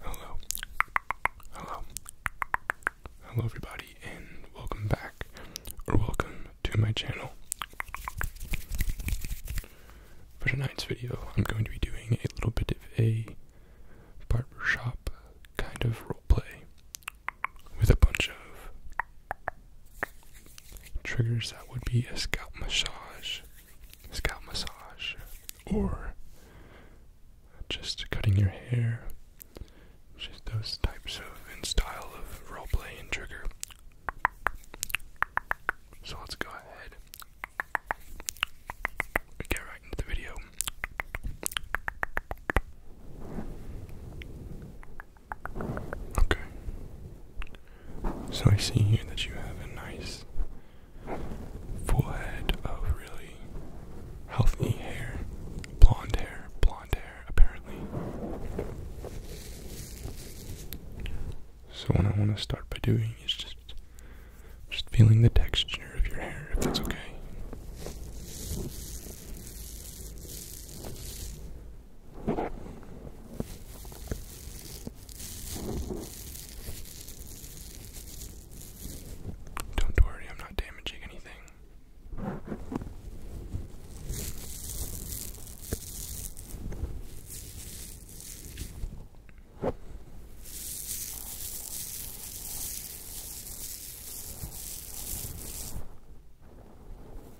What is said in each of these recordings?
Hello. Hello. Hello everybody and welcome back or welcome to my channel. For tonight's video, I'm going to be doing a little bit of a barbershop kind of roleplay with a bunch of Triggers that would be a scalp massage, scalp massage, or just cutting your hair. Just those types of in style of role play and trigger. So let's go ahead get right into the video. Okay. So I see here that you have a nice full of really healthy hair. Blonde hair, blonde hair, apparently. So what I want to start by doing is just just feeling the texture of your hair, if that's okay. Don't worry, I'm not damaging anything.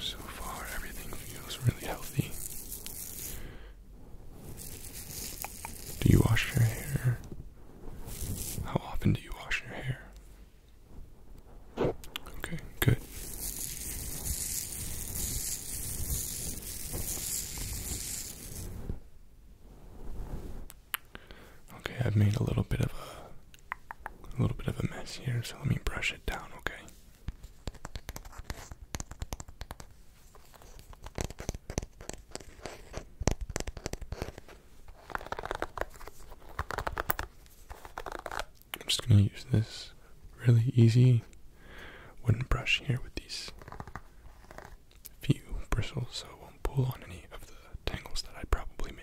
So far, everything feels really healthy. Do you wash your hair? How often do you wash your hair? Okay, good. Okay, I've made a little bit of a, a little bit of a mess here, so let me brush it down, okay? I'm just going to use this really easy wooden brush here with these few bristles so it won't pull on any of the tangles that I probably made.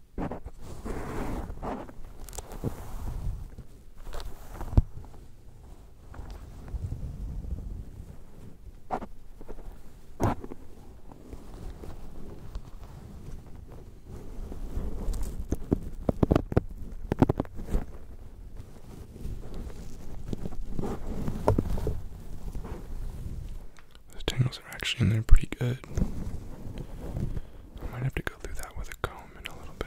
Those tangles are actually in there pretty good. I might have to go through that with a comb home in a little bit.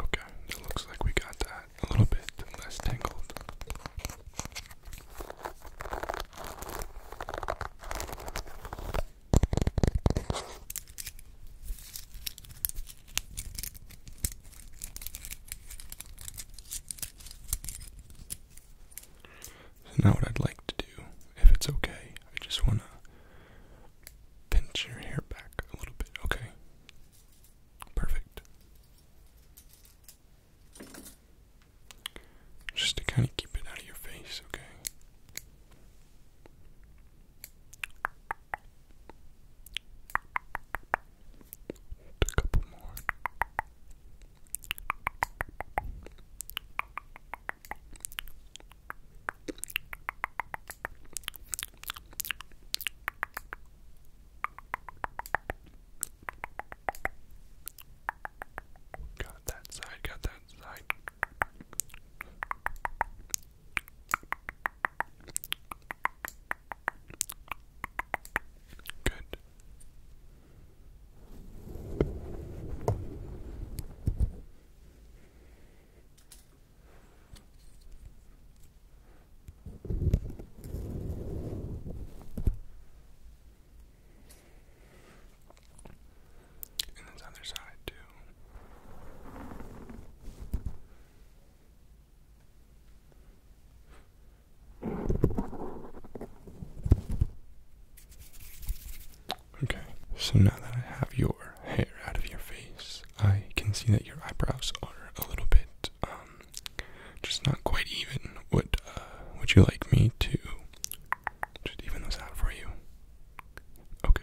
Okay, it looks like we got that a little bit less tangled. So now what I'd like to do, if it's okay, I just want to pinch your hair back a little bit, okay? Perfect. Just to kind of keep it out of your face, okay? A couple more. Got that side, got that side. Good. And this other side, too. Okay, so now that I have your hair out of your face, I can see that your eyebrows are a little bit um, um, just not quite even. Would uh, Would you like me to just even those out for you? Okay.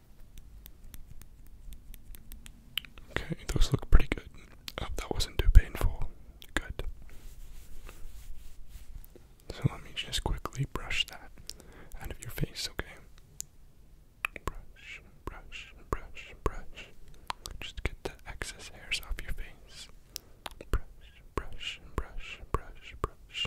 Okay, those look pretty good. Oh, that wasn't too painful. Good. So let me just quickly brush that out of your face, okay? Brush, brush, brush, brush. Just get the excess hairs off your face. Brush, brush, brush, brush, brush.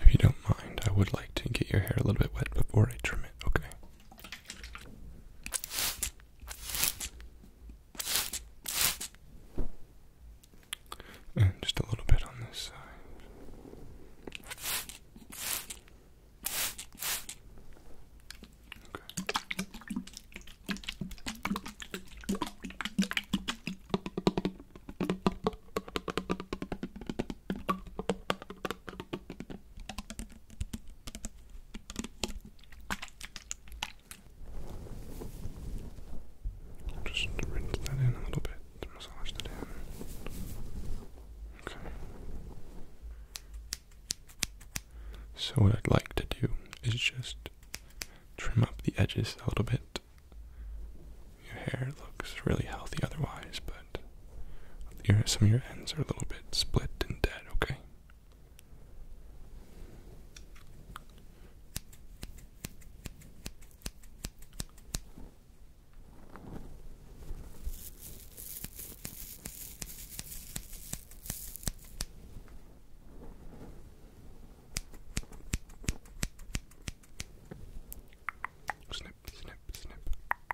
If you don't mind, I would like to get your hair a little bit wet before I trim it, okay? And just a little bit on this side. Okay. Just rinse that in a little bit, massage that in. Okay. So, what I'd like to do is just trim up the edges a little bit. Your hair looks really healthy otherwise, but your, some of your ends are a little bit split and dead, okay? Snip, snip, snip.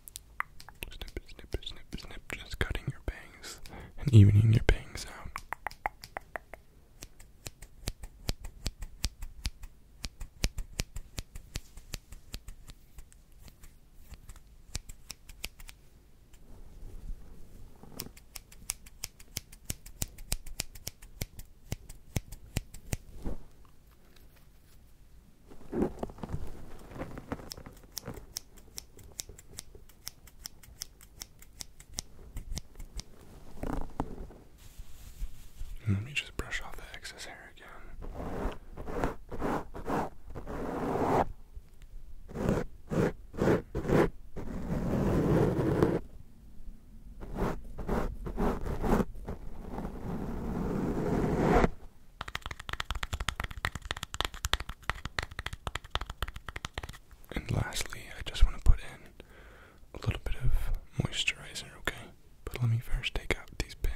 Snip, snip, snip, snip, just cutting your bangs and evening your bangs out. Let me just brush off the excess hair again. And lastly, I just want to put in a little bit of moisturizer, okay? But let me first take out these pins.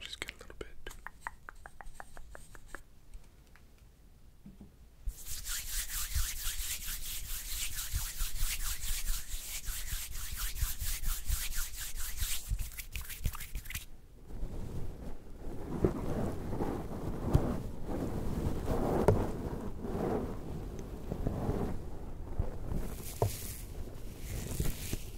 Just get a little bit. Good.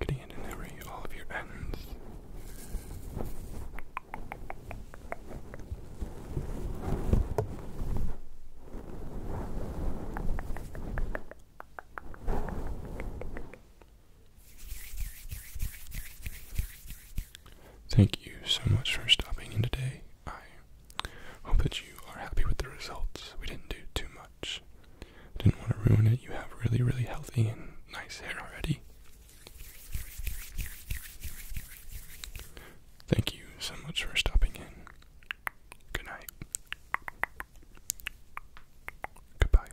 Getting in and every all of your ends. Thank you so much for stopping in today. I hope that you are happy with the results. We didn't do too much. didn't want to ruin it. You have really, really healthy and nice hair already. Thank you so much for stopping in. Good night. Goodbye.